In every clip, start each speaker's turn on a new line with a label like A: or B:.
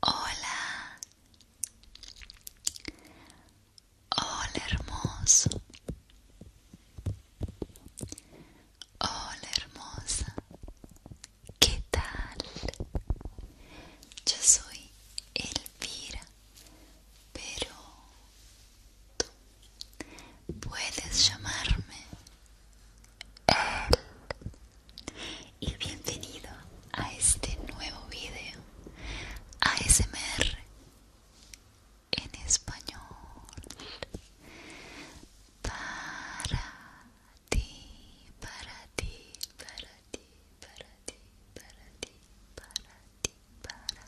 A: Hola, hola hermoso, hola hermosa, ¿Qué tal? Yo soy Elvira, pero
B: tú puedes llamarme El. Y bienvenido a este nuevo video ASMR en español para ti, para ti, para ti, para ti, para ti, para ti, para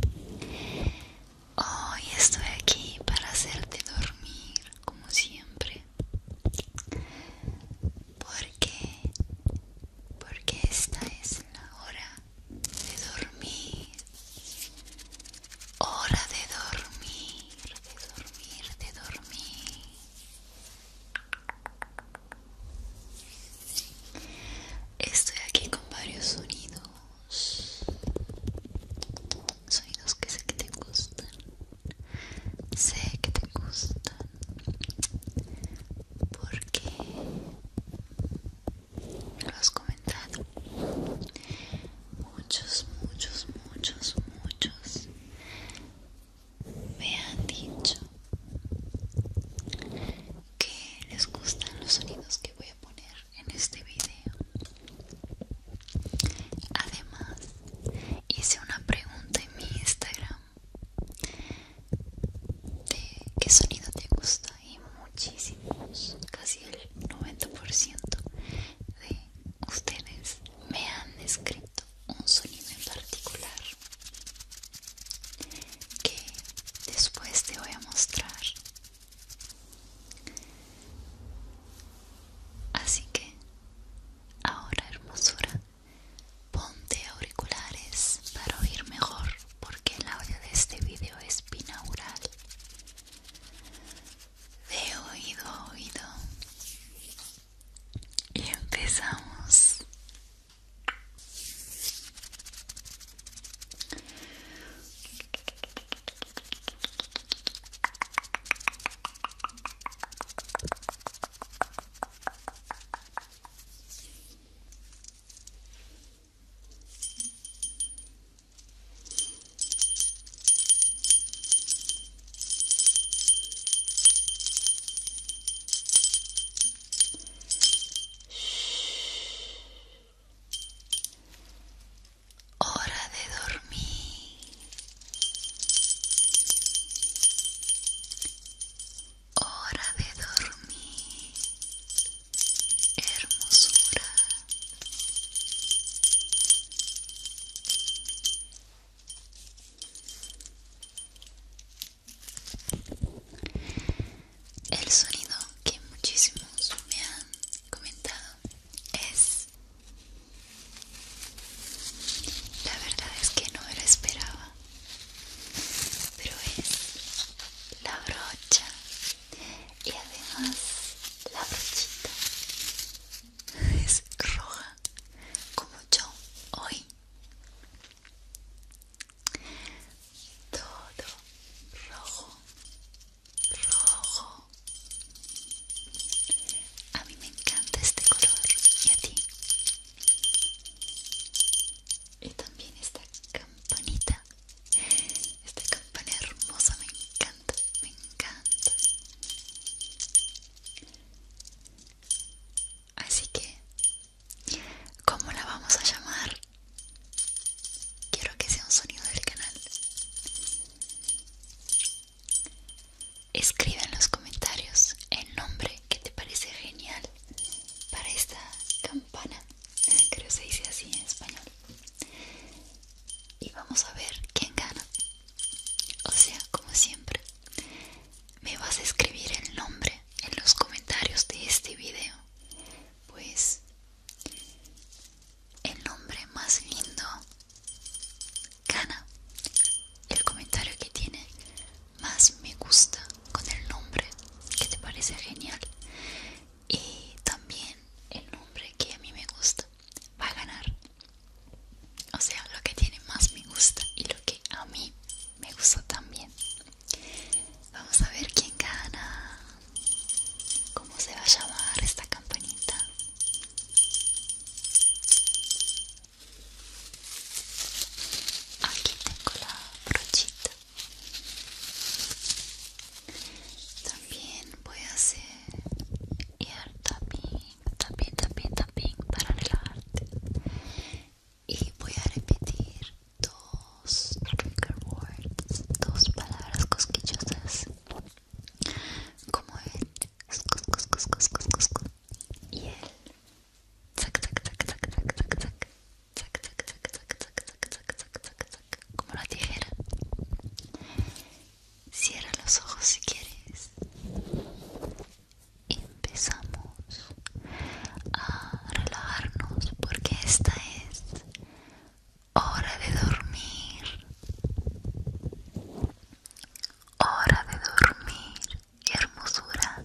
B: ti. Hoy estoy aquí para hacerte dormir como siempre. Porque porque esta es la hora de
A: dormir Hora de dormir, de dormir, de dormir. Estoy aquí con varios sonidos. Sonidos que sé que te gustan. Sé que te gustan. Porque lo has comentado muchos, muchos, muchos, muchos me han dicho que les gustan los sonidos que voy a poner en este video.
B: Además, hice una pregunta en mi Instagram de qué sonido te gusta y muchísimos, casi el 90% de ustedes me han descrito un sonido en particular que después te voy a mostrar así que ahora hermosura ponte auriculares para oír mejor porque el audio de este video es binaural de oído oído y empezamos Hora de dormir. Hora de dormir. Hermosura. El sonido que muchísimos me han comentado es... La verdad es que no lo esperaba, pero es la brocha y además la brochita es roja como yo hoy todo rojo rojo a mí me encanta este color y a ti y también esta campanita esta campana hermosa me encanta, me encanta. Así que, ¿cómo la vamos a llamar? Quiero que sea un sonido del canal. Escribe en los comentarios el nombre que te parece genial para esta campana. Creo que se dice así en español y vamos a ver quién gana. O sea, como siempre, me vas a escribir el nombre en los comentarios de este video. Pues el nombre más lindo gana. El comentario que tiene más me gusta con el nombre que te parece genial. Y también el nombre que a mí me gusta va a ganar. O sea, lo que tiene más me gusta y lo que a mí me gustó también. Vamos a ver quién gana. ¿Cómo se va a llamar esta campanita? Aquí tengo la brochita.
A: También voy a hacer ear tapping, tapping, tapping, tapping para relajarte. Y voy a repetir dos trigger words, dos palabras cosquillosas. Como el escu, cos, cos, cos, cos, cos, y el tac, tac, tac, tac, tac, tac, tac. Tac, tac, tac, tac,
B: tac, tac, tac, tac, tac, tac, como la tijera Cierra los ojos si quieres. Empezamos a relajarnos porque esta es hora de dormir. Hora de dormir. Qué hermosura.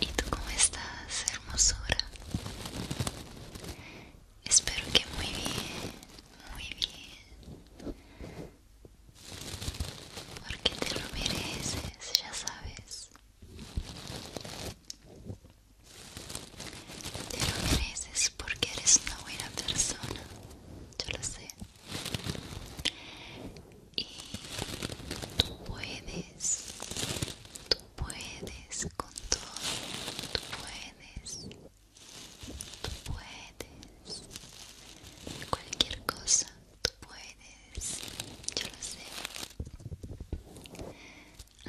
B: ¿Y tú cómo estás, hermosura? Espero que muy bien, muy bien. Porque te lo mereces, ya sabes. Te lo mereces porque eres una buena persona, yo lo sé. Y tú puedes, puedes con todo, tú puedes, tú puedes, cualquier cosa, tú puedes, yo lo sé.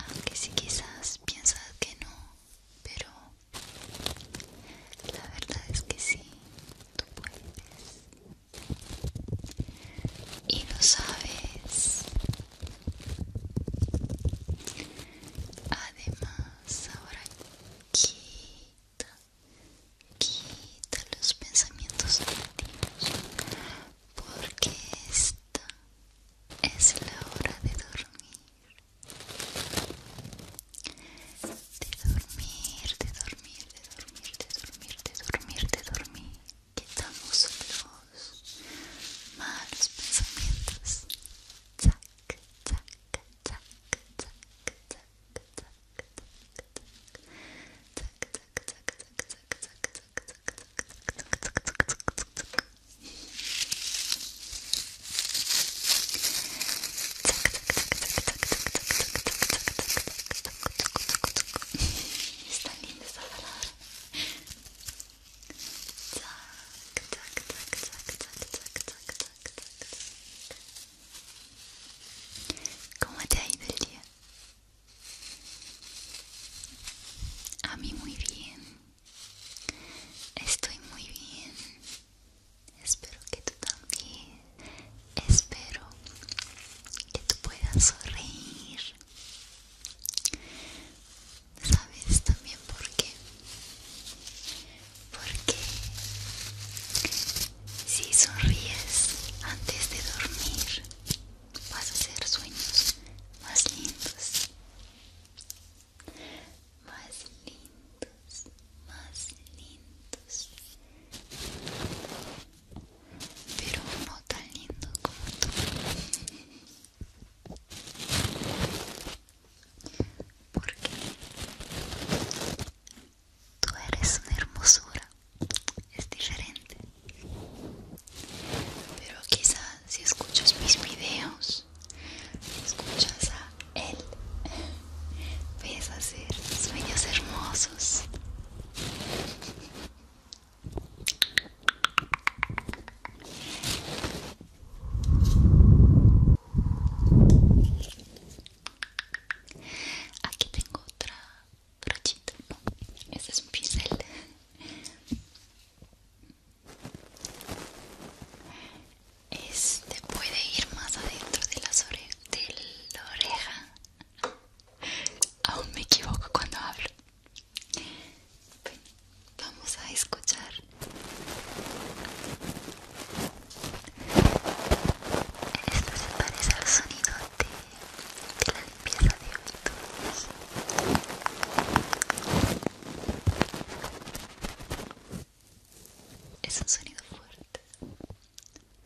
B: Aunque si quizás piensas que no, pero la verdad es que sí, tú puedes y lo sabes.
A: Además, ahora quita, quita los pensamientos negativos, porque esta es la hora de dormir. De dormir, de dormir, de dormir, de dormir, de dormir, de dormir quitamos los malos pensamientos. Tac, tac, tac, tac, tac, tac. ¿Cómo te ha
B: ido el día? A mí muy bien. Estoy muy bien. Espero que tú también. Espero que tú puedas sonreír ¿Sabes también por qué? Porque si sonríes antes de dormir, vas a hacer sueños más lindos. Más lindos, más lindos pero no tan lindo como tú. Porque tú eres una hermosura, es diferente. Pero quizás si escuchas mis videos, escuchas a él, ves hacer sueños hermosos. Aquí tengo otra brochita. Este es un pincel. Este puede ir más adentro de, la oreja Aún me equivoco cuando hablo. vamos a escuchar esto se parece al sonido de, la limpieza de oídos es un sonido fuerte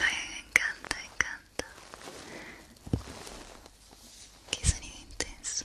A: Ay, me encanta, me encanta. Qué sonido intenso.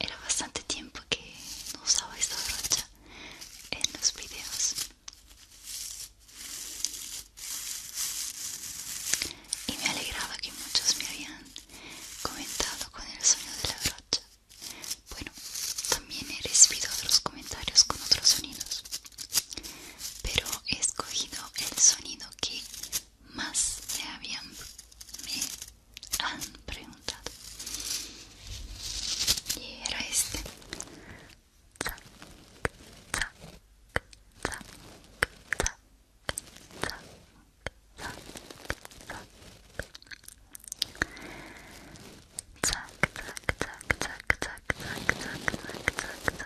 B: Era bastante tiempo que no usaba esta brocha en los videos. Y me alegraba que muchos me habían comentado con el sonido de la brocha. Bueno, también he recibido otros comentarios con otros sonidos pero he escogido el sonido que más me habían me han preguntado y era este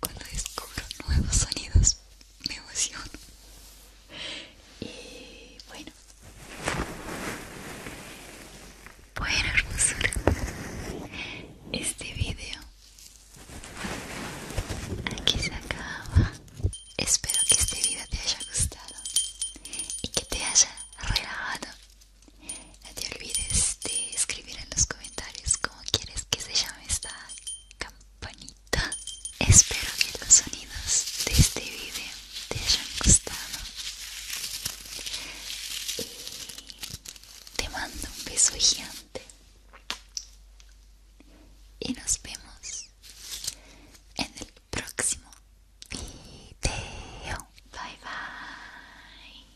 B: Cuando descubro nuevos sonidos me emociono. Y bueno. Bueno, hermosura. Este video aquí se acaba. Espero que este video te haya gustado y que te haya relajado. No te olvides de escribir en los comentarios cómo quieres que se llame esta, bonita Espero que los sonidos de este video te hayan gustado. Y te mando un beso gigante. Y nos vemos en el próximo video. Bye bye.